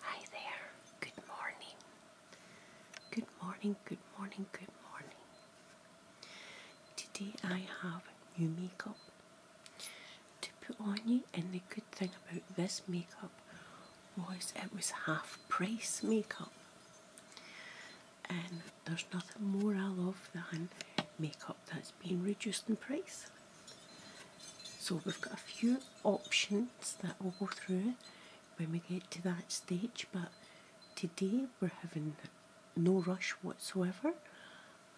Hi there, good morning. Good morning, good morning, good morning. Today I have new makeup to put on you, and the good thing about this makeup was it was half price makeup. And there's nothing more I love than makeup that's been reduced in price. So we've got a few options that we will go through when we get to that stage, but today we're having no rush whatsoever.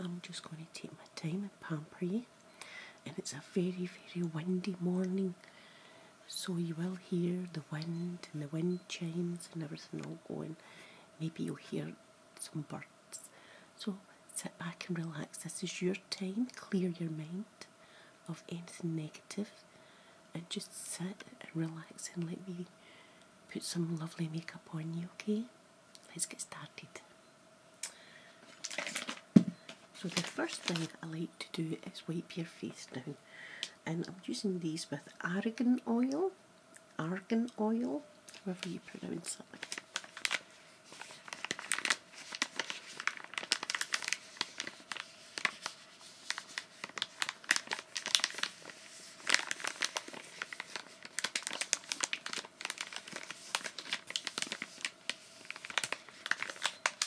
I'm just going to take my time and pamper you. And it's a very, very windy morning so you will hear the wind and the wind chimes and everything all going. Maybe you'll hear some birds. So sit back and relax. This is your time. Clear your mind of anything negative and just sit and relax and let me put some lovely makeup on you, okay? Let's get started. So the first thing I like to do is wipe your face down. And I'm using these with argan oil, argan oil, however you pronounce it.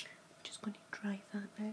I'm just going to dry that out.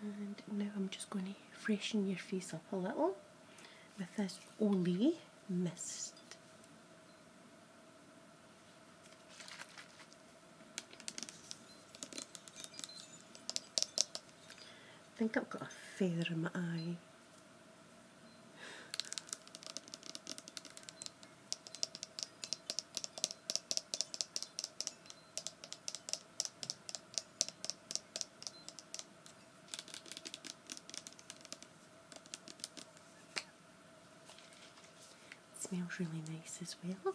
And now I'm just going to freshen your face up a little with this Olay mist. I think I've got a feather in my eye smells really nice as well.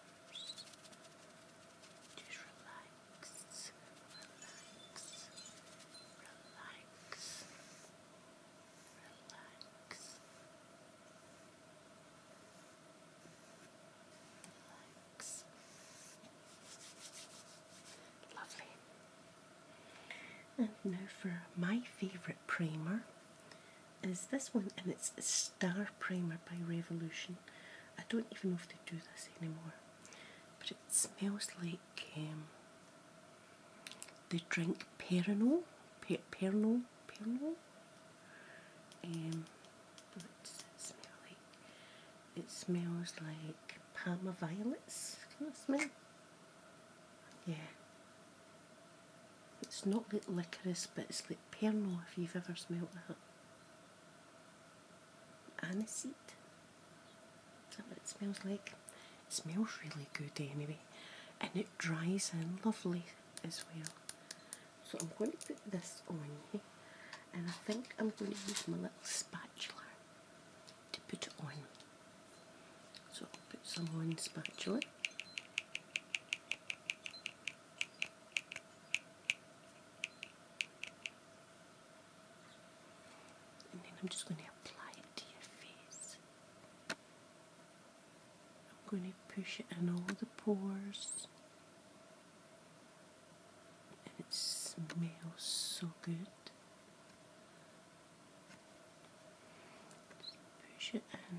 Just relax, relax, relax, relax. Relax. Lovely. And now for my favourite primer is this one, and it's Star Primer by Revolution. I don't even know if they do this anymore, but it smells like um, they drink Perinol, per Perinol, Perinol. Um, it smell like? It smells like Palma violets. Can you smell? Yeah, it's not like licorice, but it's like Pernod if you've ever smelt that. Aniseed. Is it smells like? smells really good anyway, and it dries in lovely as well. So I'm going to put this on here, and I think I'm going to use my little spatula to put it on. So I'll put some on spatula. And then I'm just going to apply it to your face. I'm going to push it in all the pores. And it smells so good. push it in.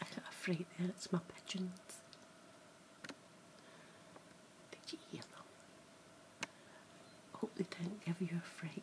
I got a fright it's my pigeons. Did you hear them? hope they do not give you a fright.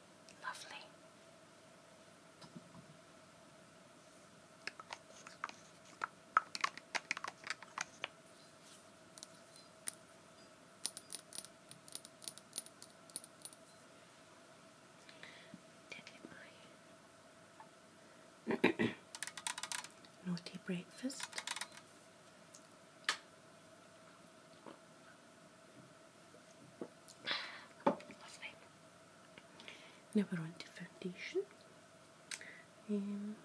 Lovely. get my naughty breakfast? Lovely. Now we foundation. Um,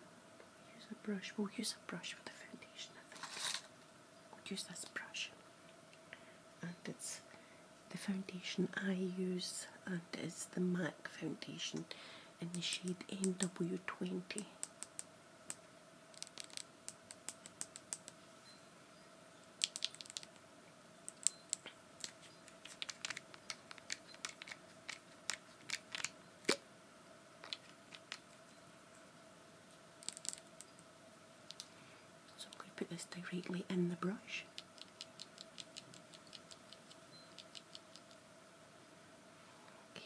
use a brush. We'll use a brush for the foundation, We'll use this brush. And it's the foundation I use, and it's the MAC foundation in the shade NW20. So I'm going to put this directly in the brush. Okay.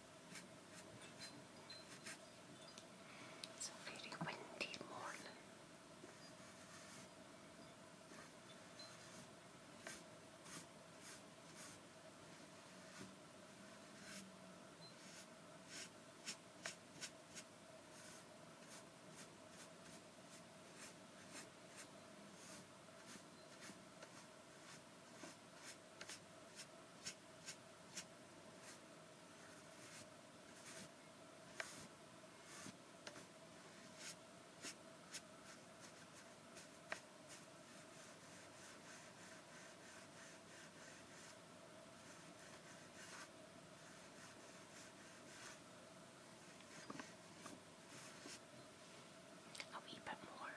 It's a very windy morning. A wee bit more.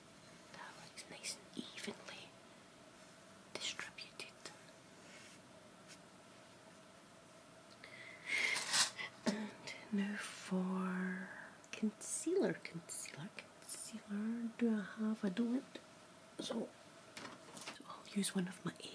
that like nice and evenly distributed. And now for concealer, concealer, concealer. Do I have? a don't. so I'll use one of my eggs.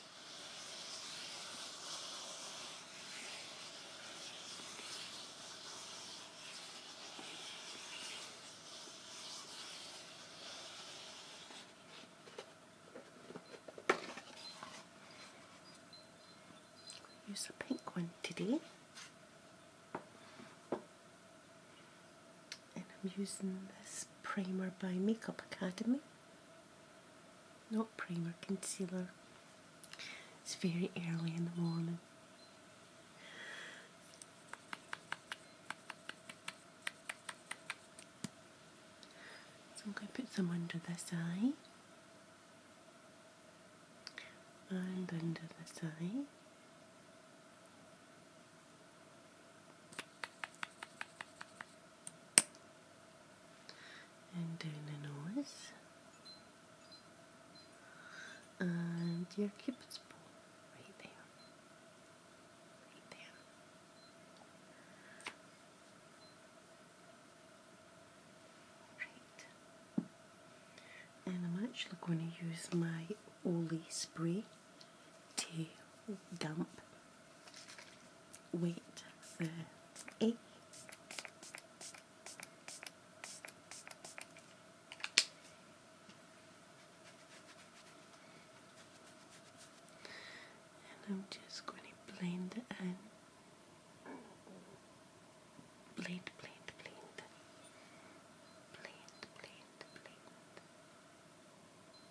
Use the pink one today. And I'm using this primer by Makeup Academy. Not primer, concealer. It's very early in the morning. So I'm going to put some under this eye and under the eye and then the nose and your cupid's bow right there right there and I'm actually going to use my Oli spray to damp wait uh, eight. And I'm just going to blend and uh, blend, blend, blend, blend, blend, blend.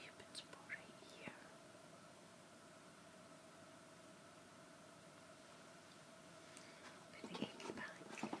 Cupid's bow right here. Put the egg back. Put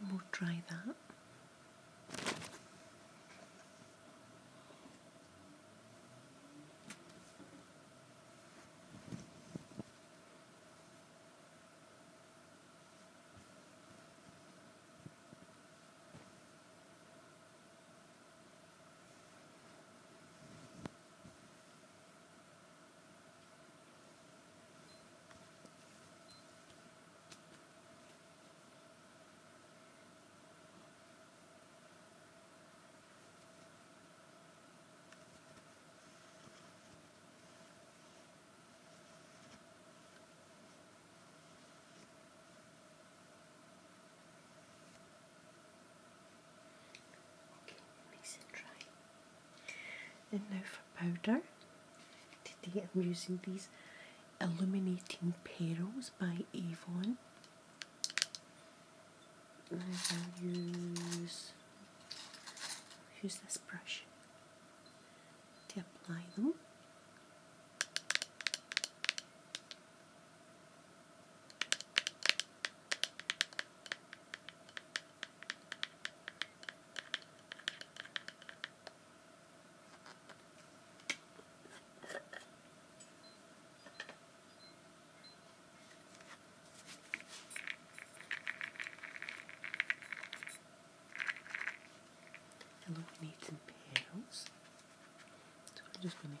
and we'll dry that. Okay, mix it dry. And now powder. Today I'm using these Illuminating pearls by Avon. I'll use, use this brush to apply them. And look, we need some petals. So I'm just going to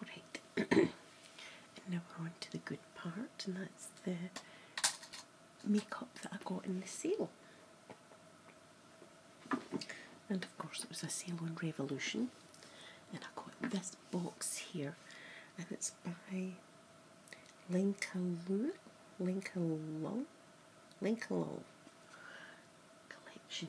Alright, now we're on to the good part, and that's the makeup that I got in the sale. And of course, it was a sale on Revolution, and I got this box here, and it's by Lincoln Lincoln Lincoln collection.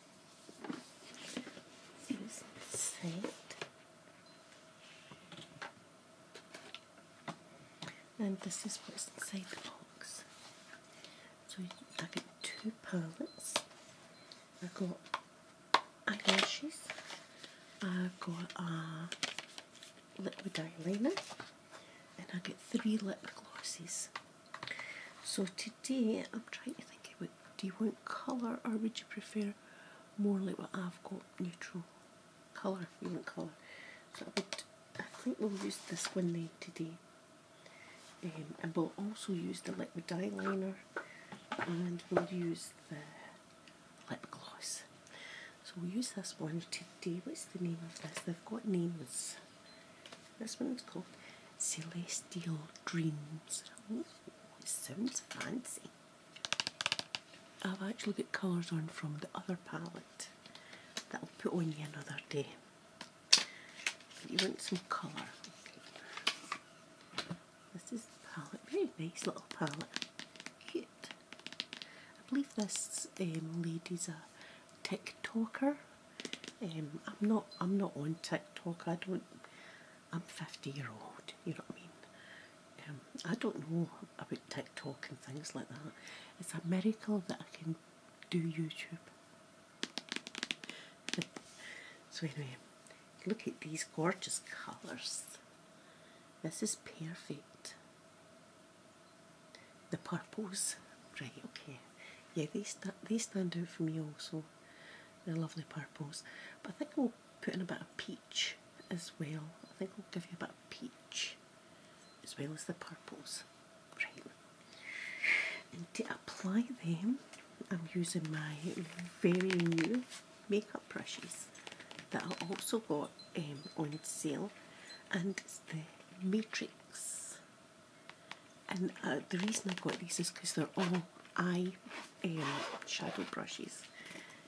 inside. And this is what's inside the box. So I got two palettes. I got eyelashes. I got a liquid eyeliner, and I get three lip glosses. So today I'm trying to think about do you want colour or would you prefer more like what I've got, neutral colour, you want colour. So I, think we'll use this one then today. Um, and we'll also use the liquid eyeliner and we'll use the lip gloss. So we'll use this one today. What's the name of this? They've got names. This one is called Celestial Dreams. Sounds fancy. I've actually got colours on from the other palette that I'll put on you another day. you want some colour. This is the palette, very nice little palette. I believe this um, lady's a TikToker. Um, I'm not. I'm not on TikTok. I don't. I'm 50 year old, you know what I mean? Um, I don't know about TikTok and things like that. It's a miracle that I can do YouTube. so, anyway, look at these gorgeous colours. This is perfect. The purples, right, okay. Yeah, they, st they stand out for me also. They're lovely purples. But I think we'll put in a bit of peach as well. I think we'll give you a bit of peach as well as the purples. Right. And to apply them, I'm using my very new makeup brushes that I also got um, on sale and it's the Matrix and uh, the reason I got these is because they're all eye and shadow brushes,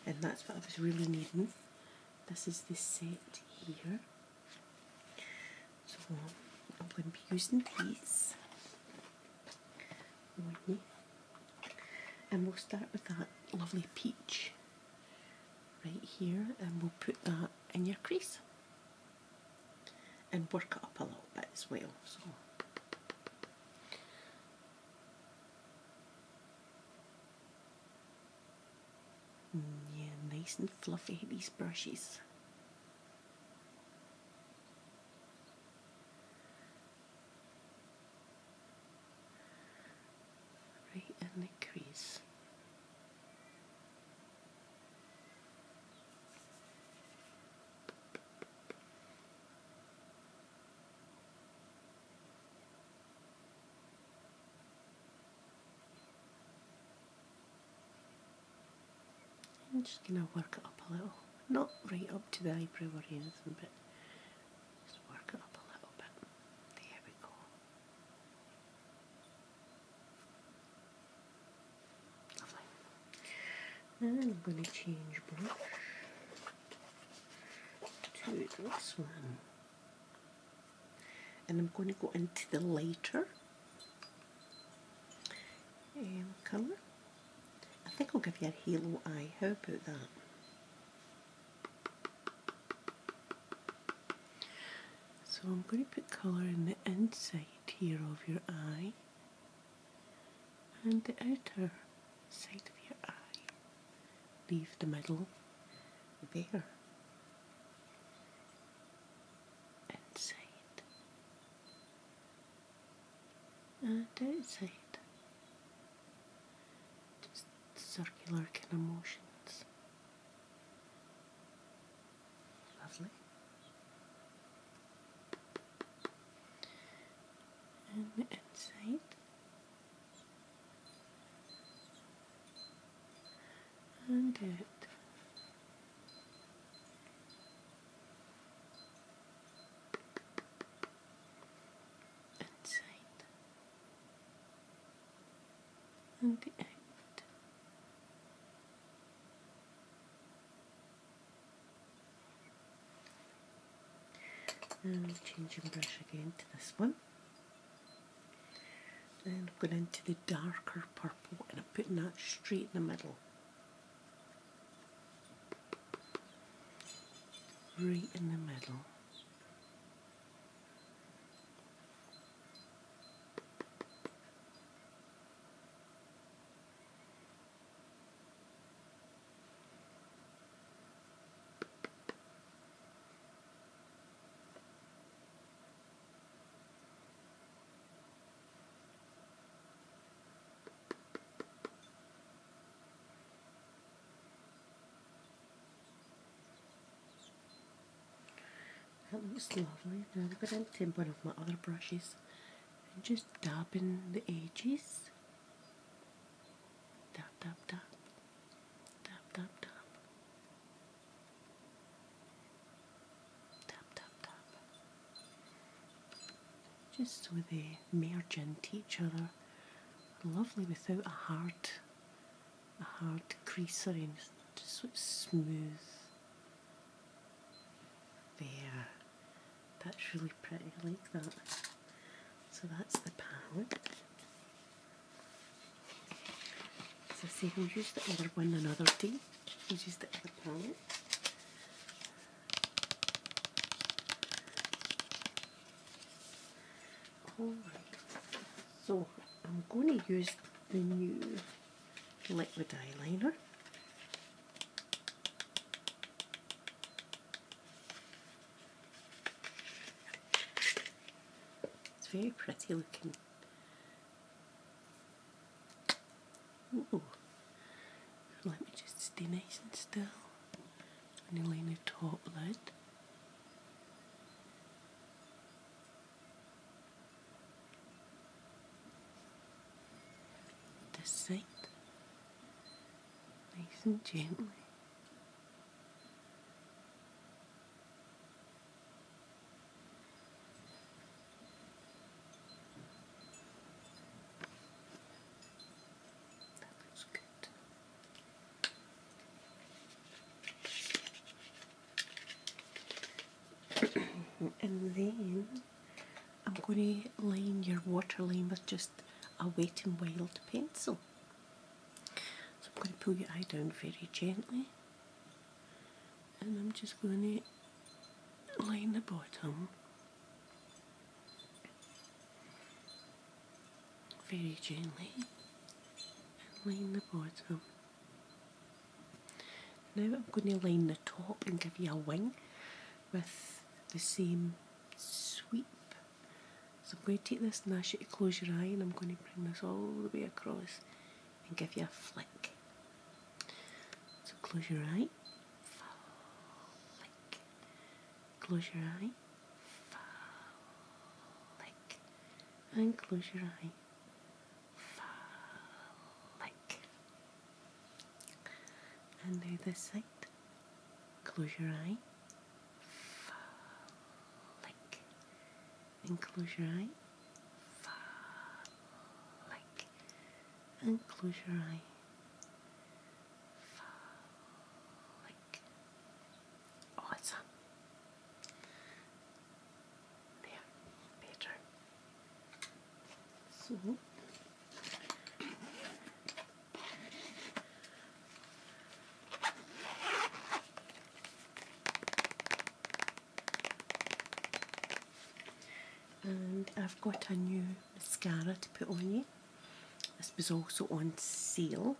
and that's what I was really needing. This is the set here, so I'm going to be using these. And we'll start with that lovely peach right here, and we'll put that in your crease and work it up a little bit as well. Mm, yeah, nice and fluffy, these brushes. Right in the crease. I'm just going to work it up a little, not right up to the eyebrow or anything, but just work it up a little bit. There we go. Lovely. I'm going to change brush to this one. And I'm going to go into the lighter um, colour. I think I'll give you a halo eye. How about that? So I'm going to put colour in the inside here of your eye and the outer side of your eye. Leave the middle there. Inside and outside. Just circular kind of motions. Lovely and the inside. And the Inside. And the end and changing brush again to this one Then I'm going into the darker purple and I'm putting that straight in the middle right in the middle that looks lovely. Now I'm going to tint one of my other brushes and just dabbing the edges. Dab, dab, dab. Dab, dab, dab. Dab, dab, dab. Just so they merge into each other. Lovely without a hard, a hard crease around, Just so it's smooth. There. That's really pretty, I like that. So that's the palette. So see say, we use the other one another thing, we use the other palette. Alright, so I'm going to use the new liquid eyeliner. It's very pretty looking. Let me just stay nice and still. And am going to the top lid. This side, nice and gently. That looks good. and then I'm going to line your waterline with just a wet and wild pencil. So I'm going to pull your eye down very gently and I'm just going to line the bottom very gently and line the bottom. Now I'm going to line the top and give you a wing with the same sweep. So I'm going to take this and ask you to close your eye and I'm going to bring this all the way across and give you a flick. So close your eye, flick. Close your eye, flick. And close your eye, flick. And now this side. Close your eye. And close your eye. And close your eye. Awesome. There. Better. So and I've got a new mascara to put on you. This was also on sale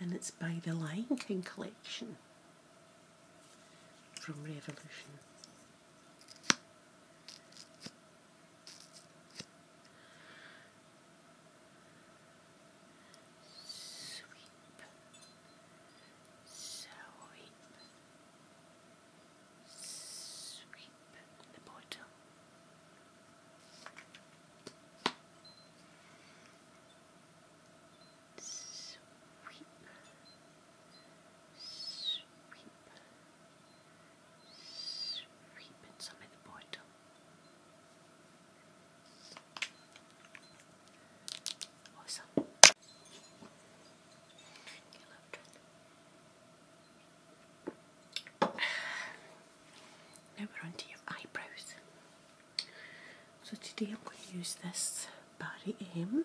and it's by the Lion King collection from Revolution. Sweep, sweep, sweep the bottom. Sweep, sweep, sweep some of the bottom. Awesome. Now we're on your eyebrows. So today I'm going to use this body aim.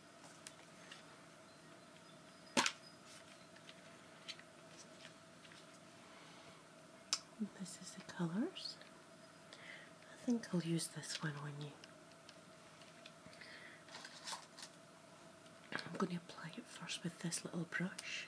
This is the colors. I think I'll use this one when you. I'm going to apply it first with this little brush.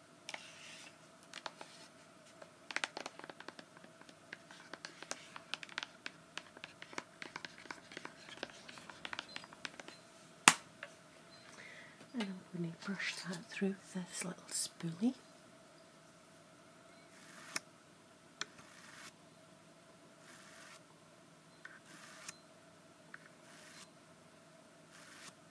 And I'm going to brush that through this little spoolie.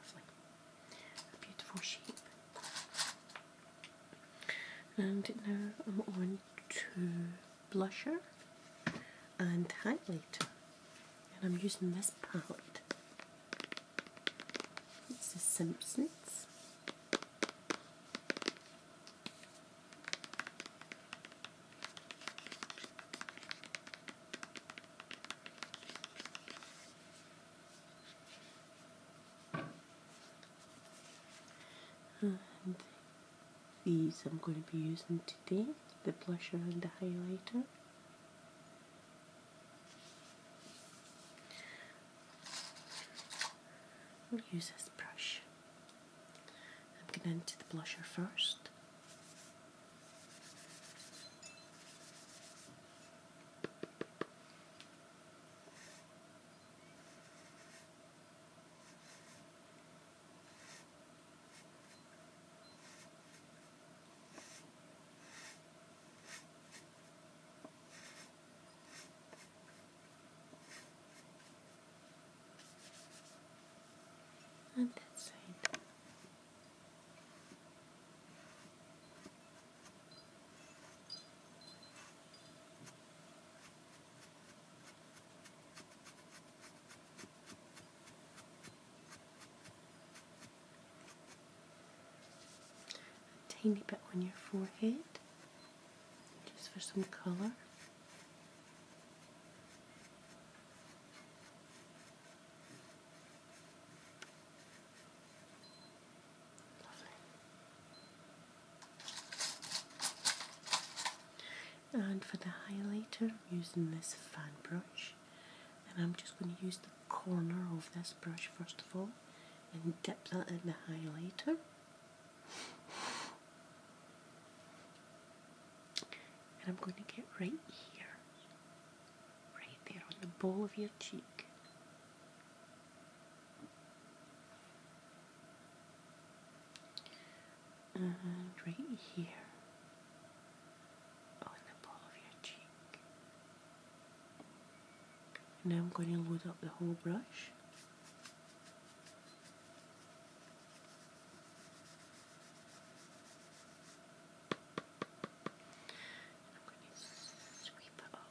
Lovely. A beautiful sheep. And um, now I'm on to blusher and highlighter. And I'm using this palette. It's the Simpsons. And these I'm going to be using today, the blusher and the highlighter. We'll use this brush. I'm going into the blusher first. On that side. A tiny bit on your forehead, just for some colour and for the highlighter I'm using this fan brush and I'm just going to use the corner of this brush first of all and dip that in the highlighter and I'm going to get right here right there on the ball of your cheek and mm-hmm. right here on oh, the ball of your cheek. Now I'm going to load up the whole brush. I'm going to sweep it up.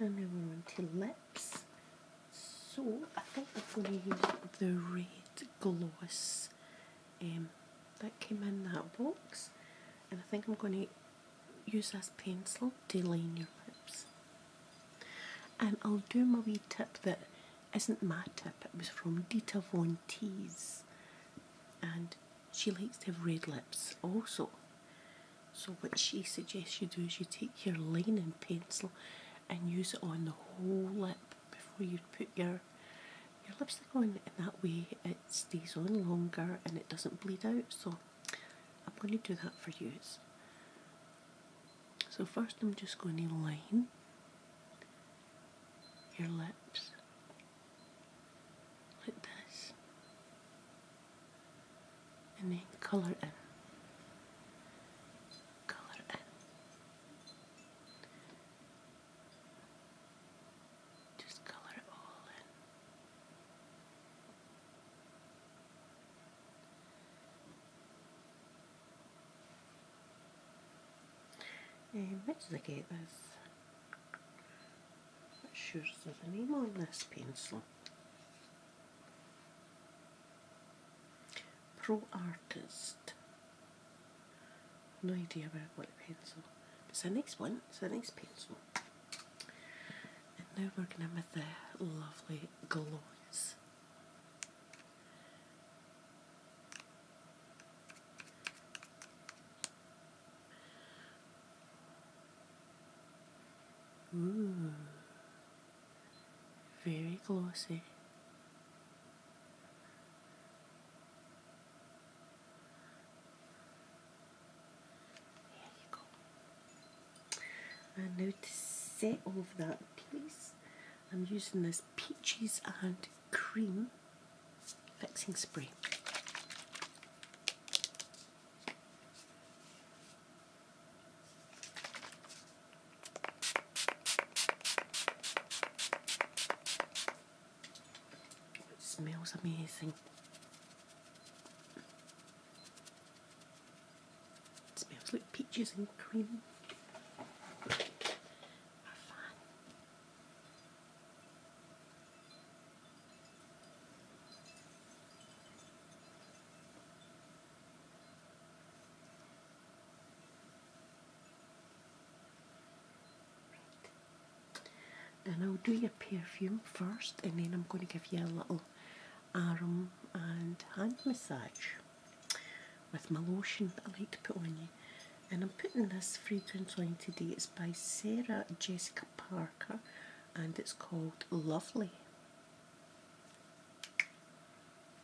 And now we're on to lips. So I think I'm going to use the red gloss um, that came in that box. And I think I'm going to use this pencil to line your lips. And I'll do my wee tip that isn't my tip, it was from Dita Von Tees. And she likes to have red lips also. So what she suggests you do is you take your lining pencil and use it on the whole lip before you put your your lipstick on In that way it stays on longer and it doesn't bleed out. So I'm going to do that for you. So first I'm just going to line your lips like this and then colour in colour in just colour it all in and much like this not sure there's a name on this pencil. Pro Artist. No idea about what pencil. It's the next one. It's the next pencil. And now we're going to make the lovely gloss. Ooh, very glossy. There you go. And now to set over that piece, I'm using this peaches and cream Fixing spray. It smells amazing. smells like peaches and cream. And I'll do your perfume first, and then I'm going to give you a little arm and hand massage with my lotion that I like to put on you and I'm putting this fragrance on today. It's by Sarah Jessica Parker and it's called Lovely.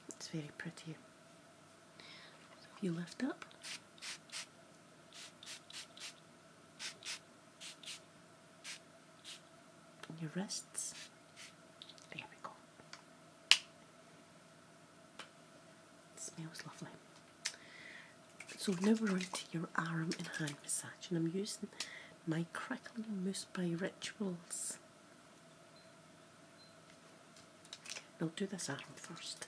It's very pretty. So if you lift up, your wrists. There we go. smells lovely. So now we're on to your arm and hand massage, and I'm using my Crackling Mousse by Rituals. I'll do this arm first.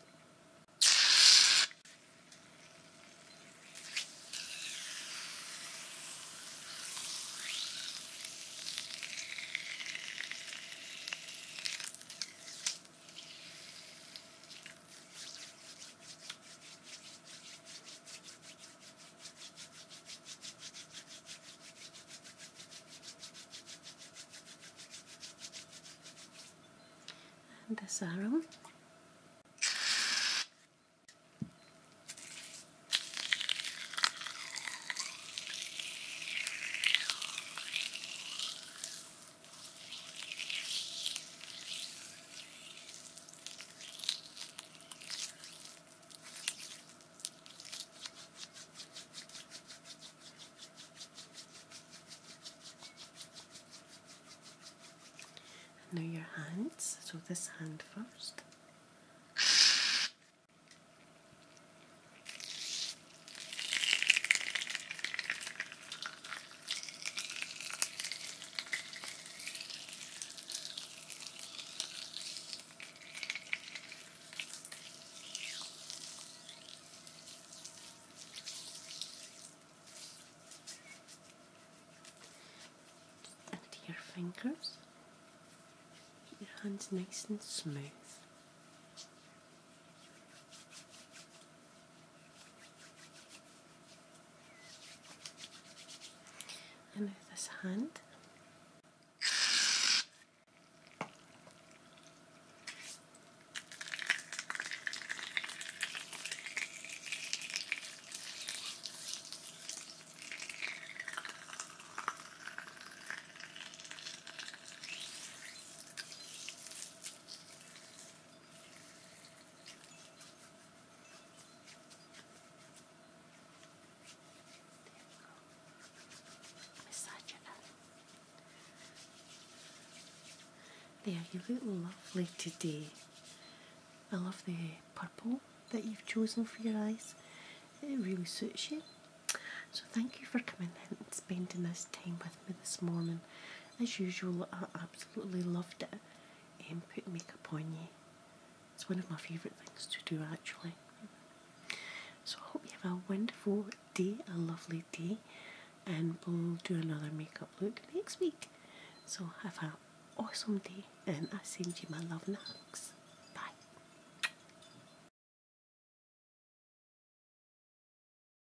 And this arrow now your hands, so this hand first. Just your fingers. Keep your hands nice and smooth. And with this hand, there, you look lovely today. I love the purple that you've chosen for your eyes. It really suits you. So thank you for coming in and spending this time with me this morning. As usual, I absolutely loved it. Um, put makeup on you. It's one of my favourite things to do actually. So I hope you have a wonderful day, a lovely day, and we'll do another makeup look next week. So have an awesome day, and I send you my love and hugs. Bye.